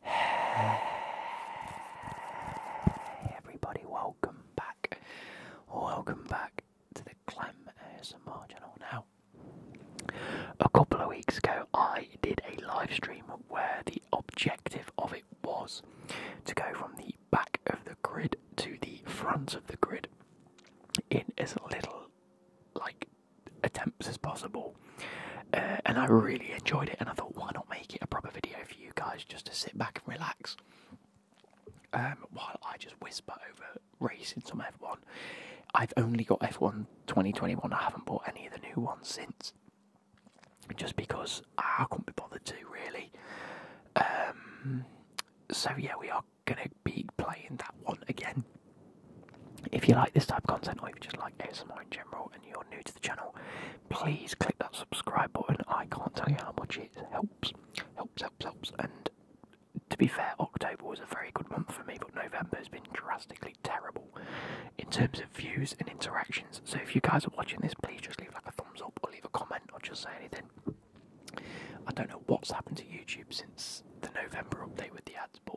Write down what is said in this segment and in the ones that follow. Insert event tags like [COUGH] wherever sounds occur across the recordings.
Hey everybody, welcome back. Welcome back to the Clem ASMR Now, a couple of weeks ago, I did a live stream where the objective of it was to go from the back of the grid to the front of the grid in as little like attempts as possible. Uh, and I really enjoyed it, and I thought, why not make it a proper video for you guys just to sit back and relax um, while I just whisper over racing some F1. I've only got F1 2021, I haven't bought any of the new ones since, just because I couldn't be bothered to really. Um, so, yeah, we are going to be playing that one again if you like this type of content or you just like ASMR in general and you're new to the channel, please click that subscribe button. I can't tell you how much it helps. Helps, helps, helps. And to be fair, October was a very good month for me, but November has been drastically terrible in terms of views and interactions. So if you guys are watching this, please just leave like a thumbs up or leave a comment or just say anything. I don't know what's happened to YouTube since the November update with the ads, but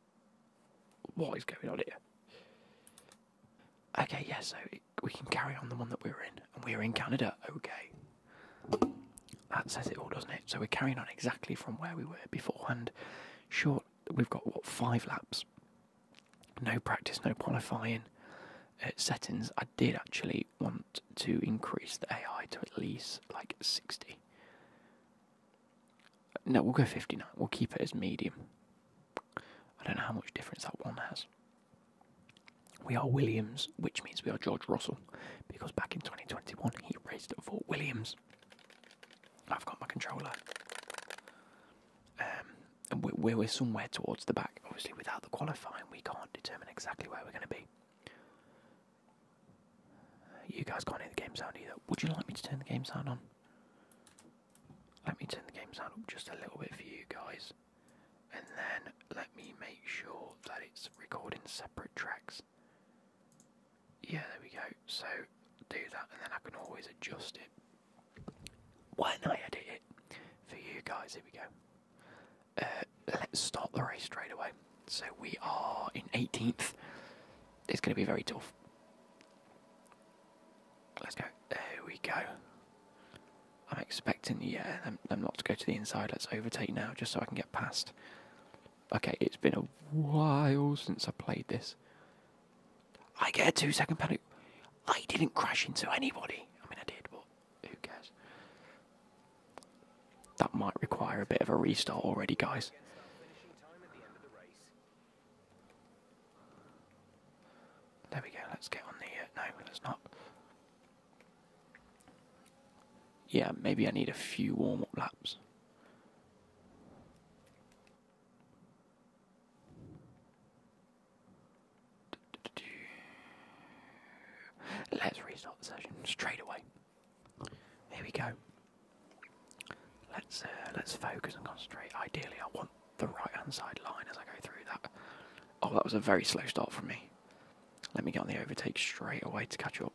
What is going on here? Okay, yes, so we can carry on the one that we are in, and we are in Canada. Okay. That says it all, doesn't it? So we're carrying on exactly from where we were beforehand. Short, we've got what, five laps? No practice, no qualifying. Uh, settings, I did actually want to increase the AI to at least like 60. No, we'll go 59. We'll keep it as medium. I don't know how much difference that one has. We are Williams, which means we are George Russell, because back in 2021 he raced for Williams. I've got my controller. Um, and we're, we're somewhere towards the back. Obviously, without the qualifying, we can't determine exactly where we're going to be. You guys can't hear the game sound either. Would you like me to turn the game sound on? Let me turn the game sound up just a little bit for you guys. And then let me make sure that it's recording separate tracks. Yeah, there we go. So do that and then I can always adjust it when I edit it for you guys. Here we go. Uh, let's start the race straight away. So we are in 18th. It's going to be very tough. Let's go. There we go. I'm expecting, yeah, I'm not to go to the inside. Let's overtake now, just so I can get past. Okay, it's been a while since I played this. I get a two-second panic. I didn't crash into anybody. I mean, I did, but who cares? That might require a bit of a restart already, guys. There we go, let's get on the. Uh, no, let's not. Yeah, maybe I need a few warm up laps. Let's restart the session straight away. Here we go. Let's uh, let's focus and concentrate. Ideally, I want the right hand side line as I go through that. Oh, that was a very slow start for me. Let me get on the overtake straight away to catch up.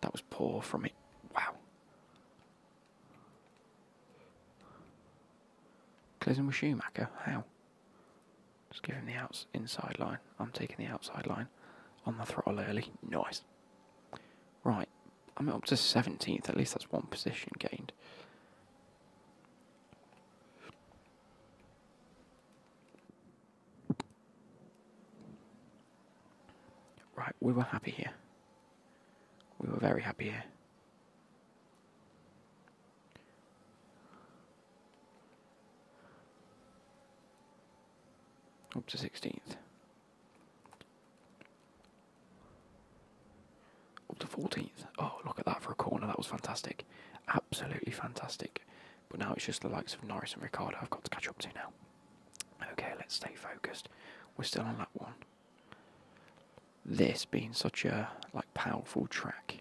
That was poor from me. Wow. Closing with Schumacher? How? Just give him the outside line. I'm taking the outside line on the throttle early. Nice. Right. I'm up to 17th. At least that's one position gained. Right, we were happy here. We were very happy here. Up to 16th. Up to 14th. Oh, look at that for a corner. That was fantastic. Absolutely fantastic. But now it's just the likes of Norris and Ricardo I've got to catch up to now. Okay, let's stay focused. We're still on that one. This being such a like powerful track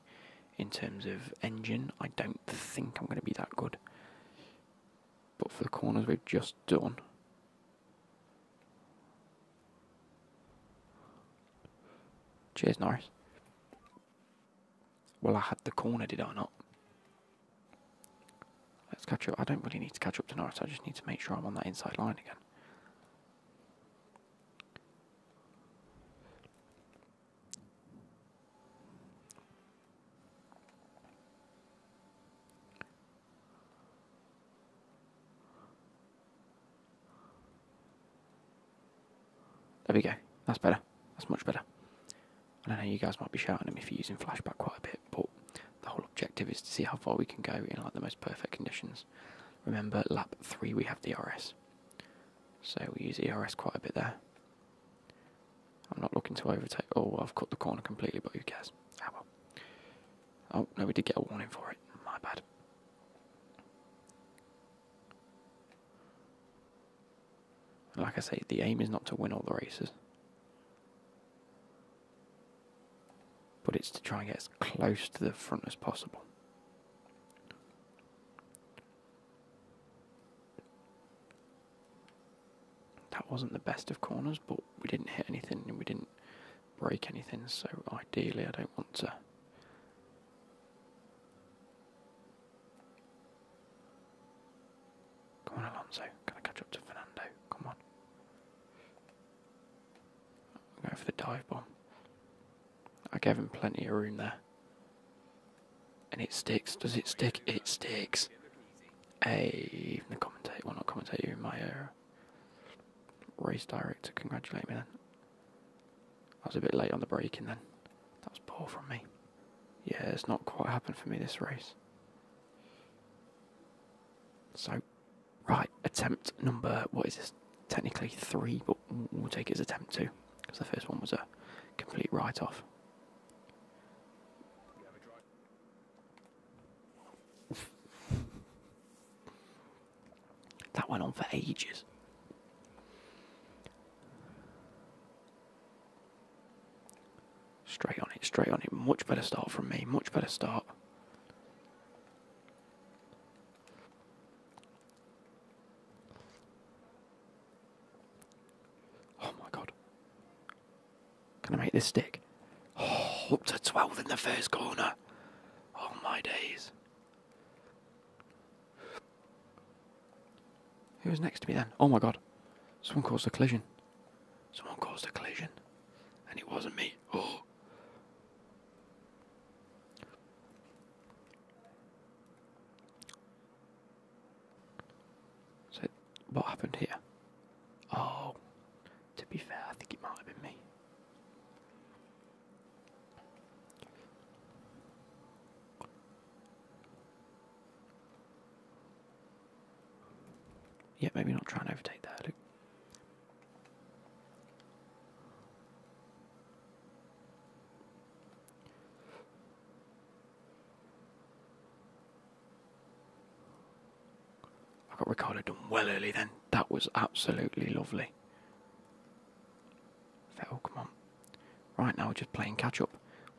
in terms of engine, I don't think I'm going to be that good. But for the corners we've just done, Cheers, Norris. Well, I had the corner, did I not? Let's catch up. I don't really need to catch up to Norris. I just need to make sure I'm on that inside line again. There we go. That's better. That's much better. I don't know you guys might be shouting at me for using flashback quite a bit, but the whole objective is to see how far we can go in like the most perfect conditions. Remember, lap three we have the RS, so we use ERS quite a bit there. I'm not looking to overtake. Oh, I've cut the corner completely, but who cares? Ah, oh no, we did get a warning for it. My bad. Like I say, the aim is not to win all the races, but it's to try and get as close to the front as possible. That wasn't the best of corners, but we didn't hit anything and we didn't break anything, so ideally, I don't want to. Come on, Alonso. Can I catch up to Fernando? Come on. I'll go for the dive bomb. I gave him plenty of room there. And it sticks. Does it stick? It sticks. Hey, even the commentator, well, not you in my era. Race director, congratulate me then. I was a bit late on the braking then. That was poor from me. Yeah, it's not quite happened for me this race. So, right, attempt number, what is this? Technically three, but we'll take it as attempt two, because the first one was a complete write off. That went on for ages. Straight on it, straight on it. Much better start from me, much better start. Oh my god. Can I make this stick? Oh, up to 12 in the first corner. All oh, my days. Who was next to me then? Oh my god. Someone caused a collision. Someone caused a collision. And it wasn't me. Oh. So, what happened here? Oh. To be fair, I think it might have been me. Yeah, maybe not trying to overtake that. Look. I got Ricardo done well early then. That was absolutely lovely. I come on. Right now, we're just playing catch up.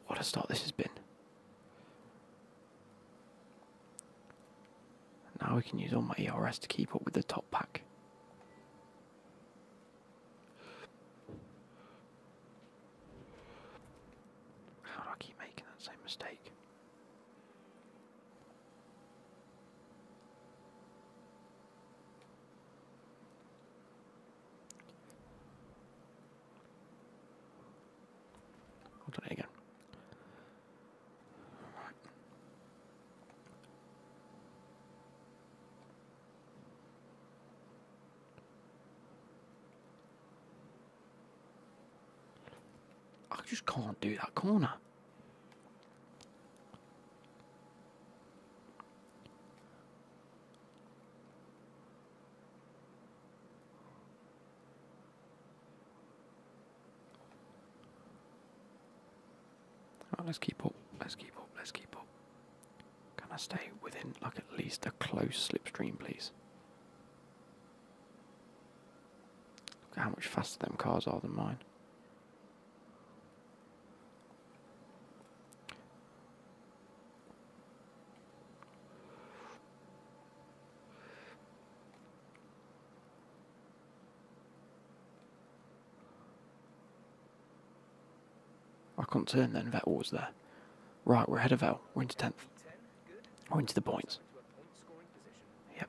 What a start this has been. Now we can use all my ERS to keep up with the top pack. How do I keep making that same mistake? I'll again. I just can't do that corner let's keep up, let's keep up, let's keep up. Can I stay within like at least a close slipstream please? Look at how much faster them cars are than mine. I can't turn then, Vettel was there. Right, we're ahead of Vettel, we're into 10th. We're into the points. Yep.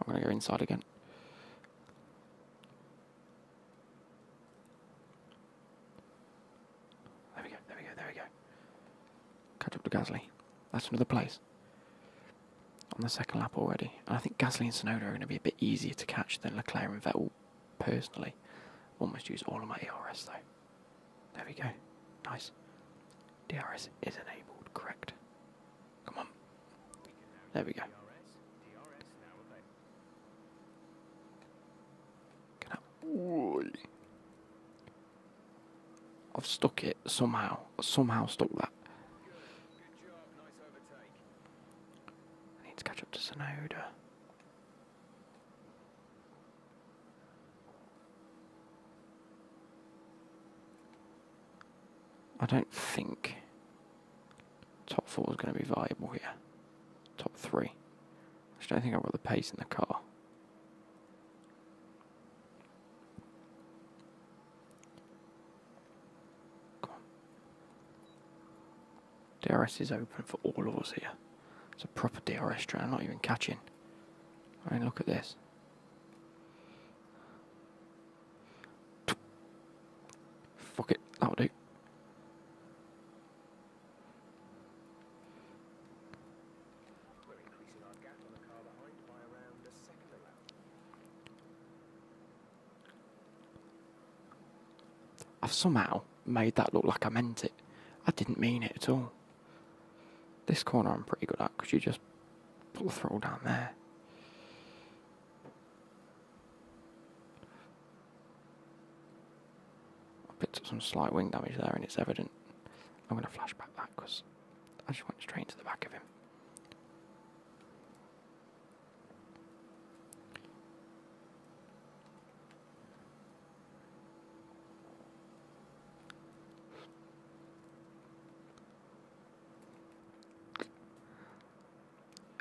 I'm going to go inside again. There we go, there we go, there we go. Catch up to Gasly. That's another place. On the second lap already. I think Gasly and Sonoda are going to be a bit easier to catch than Leclerc and Vettel, personally. Almost use all of my ERS though. There we go. Nice. DRS is enabled, correct. Come on. There we go. Can I I've stuck it somehow. Somehow stuck that. need to catch up to Sonoda. I don't think top four is going to be viable here. Top three. I don't think I've got the pace in the car. Come on. DRS is open for all of us here. It's a proper DRS track. I'm not even catching. I mean, look at this. Fuck it, that'll do. I've somehow made that look like I meant it. I didn't mean it at all. This corner I'm pretty good at because you just Pull the throttle down there. I picked up some slight wing damage there, and it's evident. I'm going to flash back that because I just went straight into the back of him.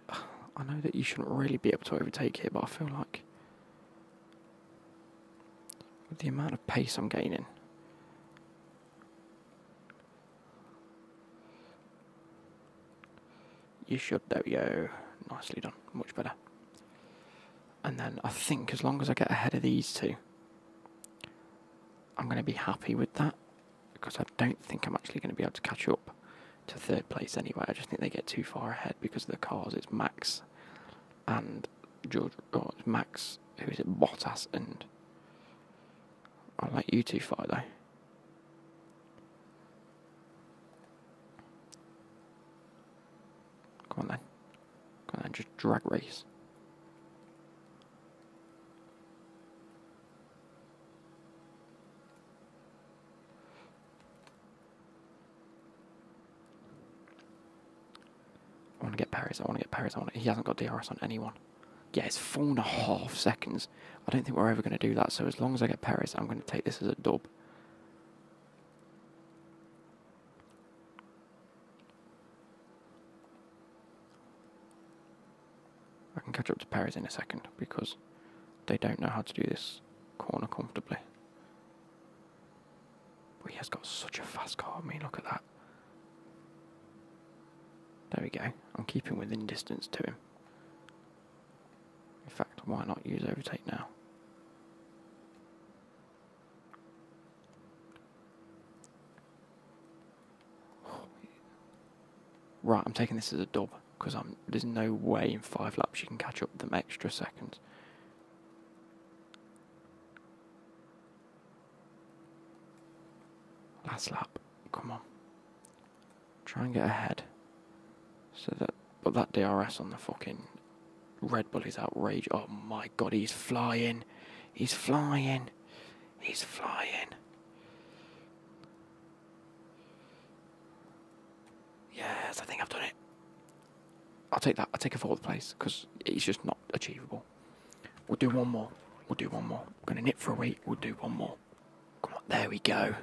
I know that you shouldn't really be able to overtake here, but I feel like with the amount of pace I'm gaining. You should, there we go. Nicely done, much better. And then I think as long as I get ahead of these two, I'm going to be happy with that because I don't think I'm actually going to be able to catch up to third place anyway. I just think they get too far ahead because of the cars. It's Max and George, or oh, it's Max, who is it, Bottas and. I will let you two fight though. Come on then. Come on then, just drag race. I want to get Paris. I want to get Paris. I want. he hasn't got DRS on anyone. Yeah, it's four and a half seconds. I don't think we're ever going to do that. So as long as I get Paris, I'm going to take this as a dub. I can catch up to Paris in a second because they don't know how to do this corner comfortably. he has got such a fast car. I mean, look at that. There we go. I'm keeping within distance to him. In fact, why not use overtake now? Right, I'm taking this as a dub because I'm there's no way in five laps you can catch up them extra seconds. Last lap, come on. Try and get ahead. So that but that DRS on the fucking Red Bull is outrage. Oh my god, he's flying. He's flying. He's flying. Yes, I think I've done it. I'll take that. I'll take a fourth place because it's just not achievable. We'll do one more. We'll do one more. We're going to nit for a week. We'll do one more. There we go.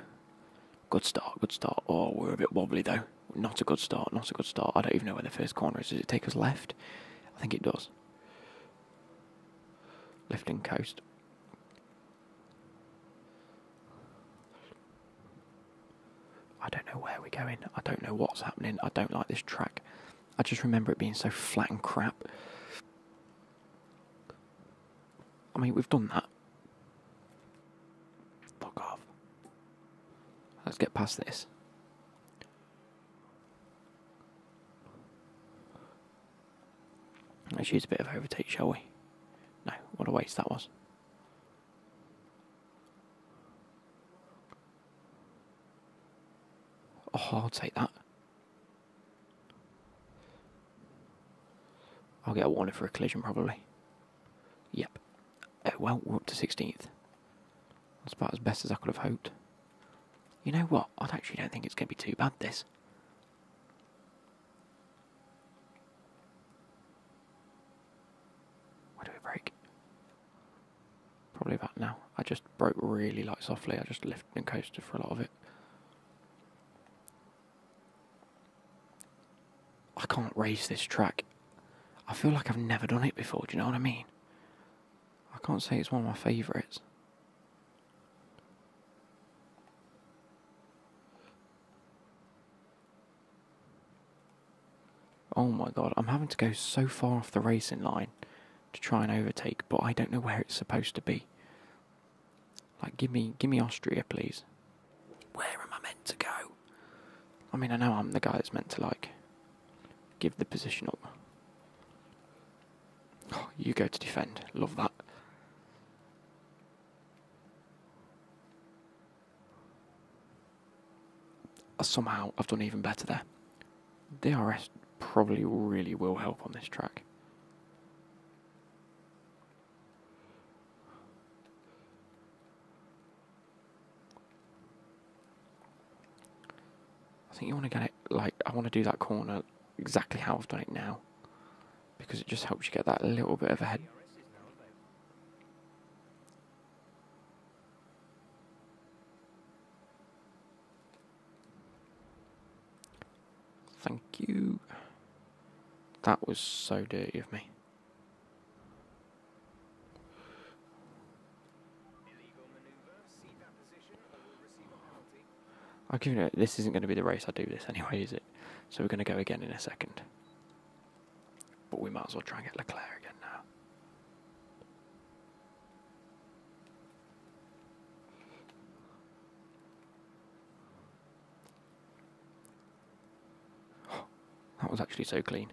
Good start. Good start. Oh, we're a bit wobbly though. Not a good start. Not a good start. I don't even know where the first corner is. Does it take us left? I think it does. Lifting coast. I don't know where we're going. I don't know what's happening. I don't like this track. I just remember it being so flat and crap. I mean, we've done that. Fuck off. Let's get past this. Let's use a bit of overtake, shall we? No, what a waste that was. Oh, I'll take that. I'll get a warning for a collision, probably. Yep. Oh, well, we're up to 16th. That's about as best as I could have hoped. You know what? I actually don't think it's going to be too bad, this. Where do we break? Probably that now. I just broke really light softly. I just lifted and coasted for a lot of it. I can't race this track. I feel like I've never done it before, do you know what I mean? I can't say it's one of my favourites. Oh my god, I'm having to go so far off the racing line to try and overtake, but I don't know where it's supposed to be. Like give me give me Austria please. Where am I meant to go? I mean I know I'm the guy that's meant to like give the position up. Oh, you go to defend. Love that. Uh, somehow I've done even better there. DRS probably really will help on this track. I think you want to get it like I want to do that corner exactly how I've done it now because it just helps you get that little bit of a head. Thank you. That was so dirty of me. I'll give it. This isn't going to be the race I do this anyway, is it? So we're going to go again in a second. But we might as well try and get Leclerc again now. [GASPS] that was actually so clean.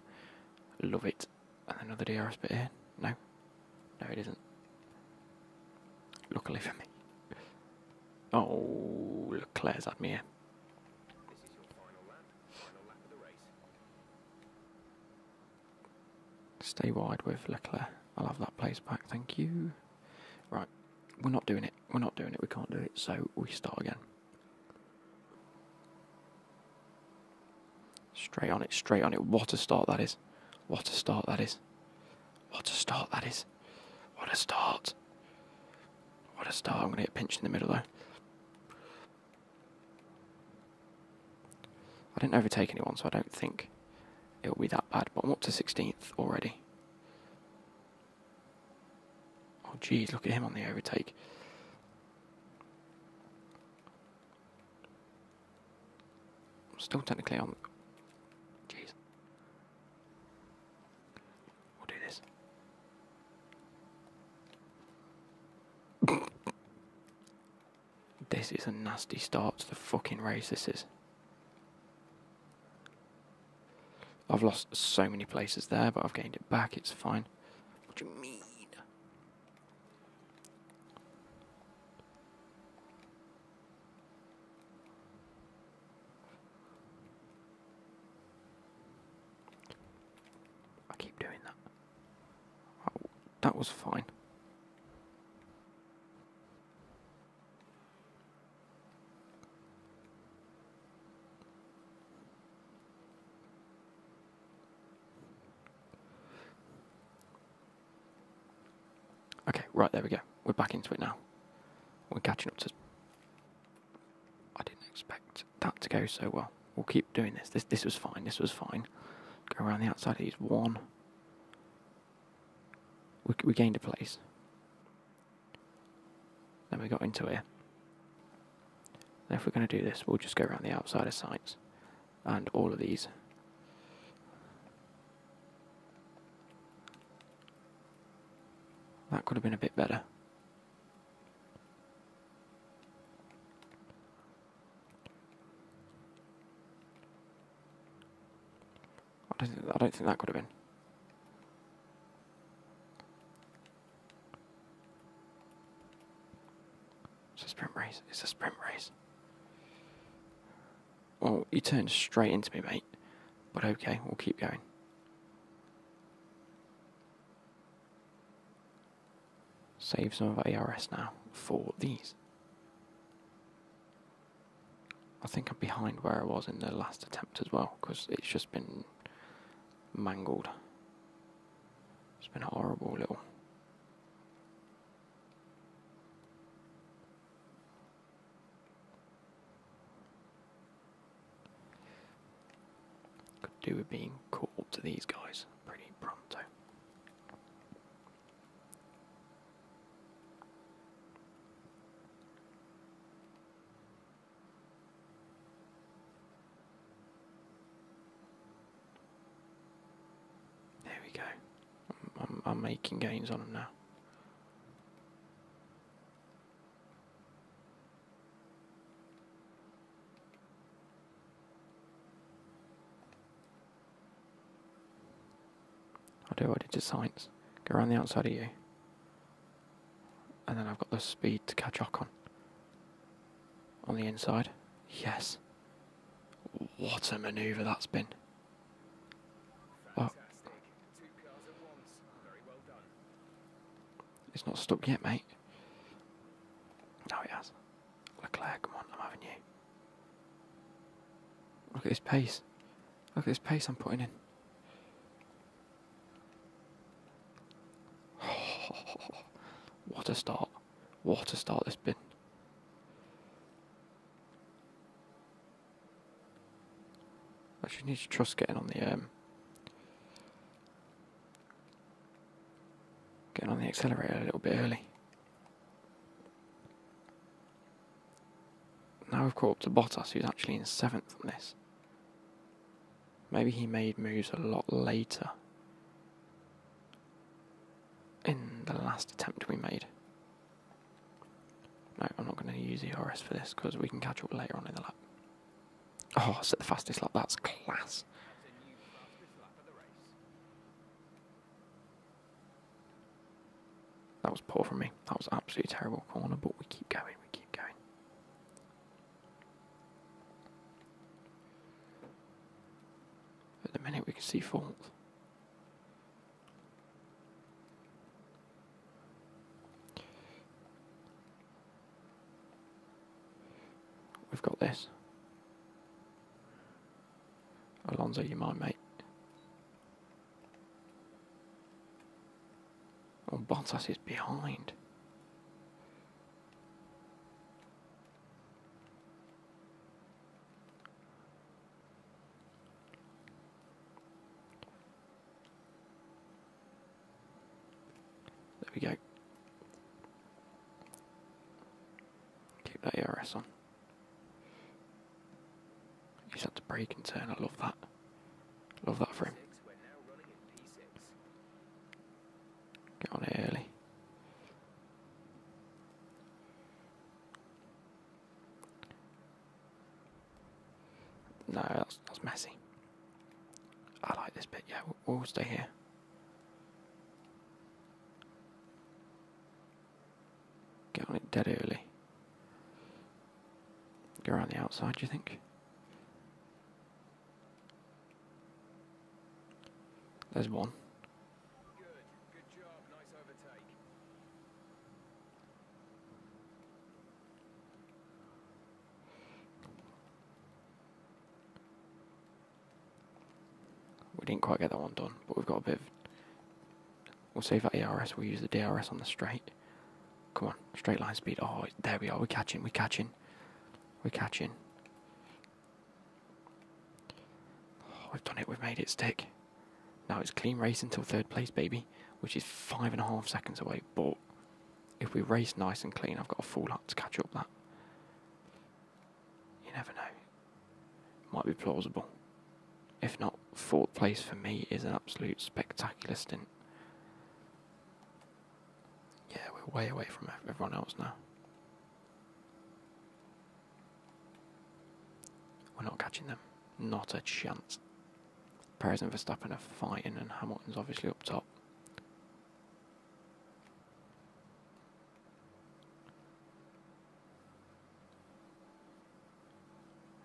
Love it. And another DRS bit here. No, no, it isn't. Luckily for me. Oh, look, Claire's had me here. Stay wide with Leclerc. I'll have that place back, thank you. Right, we're not doing it. We're not doing it. We can't do it. So we start again. Straight on it, straight on it. What a start that is. What a start that is. What a start that is. What a start. What a start. I'm going to get pinched in the middle though. I didn't overtake anyone, so I don't think it'll be that bad. But I'm up to 16th already. Oh, geez, look at him on the overtake. I'm still technically on. Jeez. We'll do this. this is a nasty start to the fucking race, this is. I've lost so many places there, but I've gained it back, it's fine. What do you mean? I keep doing that. Oh, that was fine. Okay, right, there we go. We're back into it now. We're catching up to... I didn't expect that to go so well. We'll keep doing this. This this was fine, this was fine. Go around the outside of these. One. We, gained a place. Then we got into here. if we're going to do this, we'll just go around the outside of sites. And all of these. That could have been a bit better. I don't, I don't think that could have been. It's a sprint race. It's a sprint race. Well, you turned straight into me, mate. But okay, we'll keep going. Save some of ARS now for these. I think I'm behind where I was in the last attempt as well, because it's just been mangled. It's been horrible little could do with being called to these guys pretty pronto. There we go. I'm, making gains on them now. i do what I did to science. Go around the outside of you. And then I've got the speed to catch Ocon. On the inside. Yes. What a manoeuvre that's been. Fantastic. It's not stuck yet, mate. No, oh, it has. Leclerc, come on, I'm Look at his pace. Look at his pace I'm putting in. [LAUGHS] what a start. What a start this has been. Actually, need to trust getting on the um, getting on the accelerator a little bit early. Now we have caught up to Bottas, who's actually in seventh on this. Maybe he made moves a lot later in the last attempt we made. No, I'm not going to use ERS for this because we can catch up later on in the lap. Oh, set the fastest lap. That's class. That was poor from me. That was absolutely terrible corner, but we keep going. We keep going. At the minute, we can see fourth. We've got this. Alonso, you my mate? Oh, Bottas is behind. There we go. Keep that ERS on. You just had to break and turn. I love that. Love that for him. Get on early. No, that's, messy. I like this bit, yeah, we'll, stay here. Get on it dead early. Go around the outside, do you think? There's one. We didn't quite get that one done, but we've got a bit of... We'll save that ERS, we'll use the DRS on the straight. Come on, straight line speed. Oh, there we are, we're catching, we're catching. We're catching. Oh, we've done it, we've made it stick. Now it's clean race until third place, baby, which is five and a half seconds away. But if we race nice and clean, I've got a full lap to catch up that. You never know. Might be plausible. If not, fourth place for me is an absolute spectacular stint. Yeah, we're way away from everyone else now. We're not catching them. Not a chance. Perez and Verstappen are fighting, and Hamilton's obviously up top.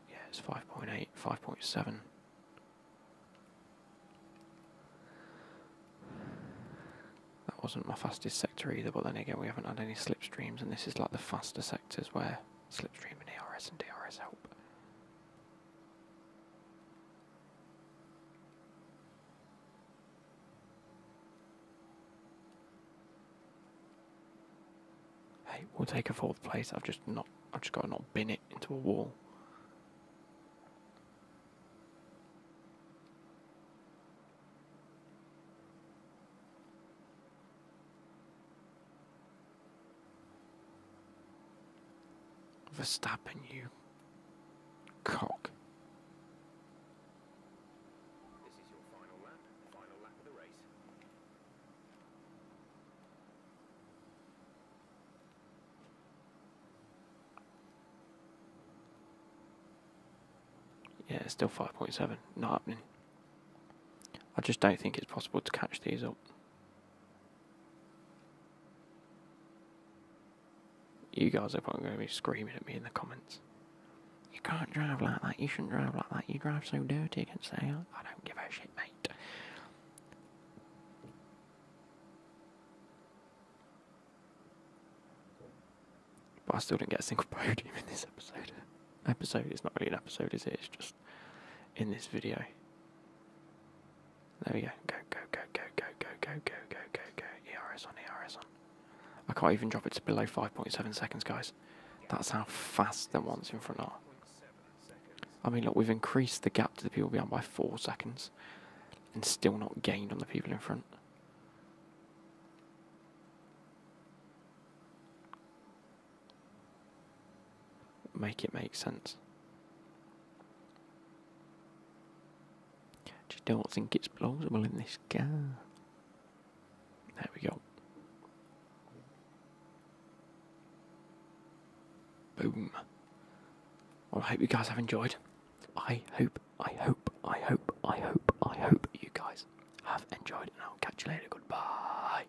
Yeah, it's 5.8, 5.7. That wasn't my fastest sector either, but then again, we haven't had any slipstreams, and this is like the faster sectors where slipstream and DRS and DRS help. Hey, we'll take a fourth place. I've just not I've just gotta not bin it into a wall. Verstappen, you cock. Yeah, it's still 5.7, not happening. I just don't think it's possible to catch these up. You guys are probably going to be screaming at me in the comments. You can't drive like that. You shouldn't drive like that. You drive so dirty against the say, I don't give a shit, mate. But I still didn't get a single [LAUGHS] podium in this episode. Episode is not really an episode, is it? It's just fast in this video. There we go. Go, go, go, go, go, go, go, go, go, go, go. ERS on, ERS on. I can't even drop it to below 5.7 seconds, guys. That's how fast the one's in front are. I mean, look, we've increased the gap to the people behind by 4 seconds and still not gained on the people in front make it make sense. I just don't think it's plausible in this game. There we go. Boom. I hope you guys have enjoyed. I hope, I hope, I hope, I hope, I hope you guys have enjoyed, and I'll catch you later. Goodbye.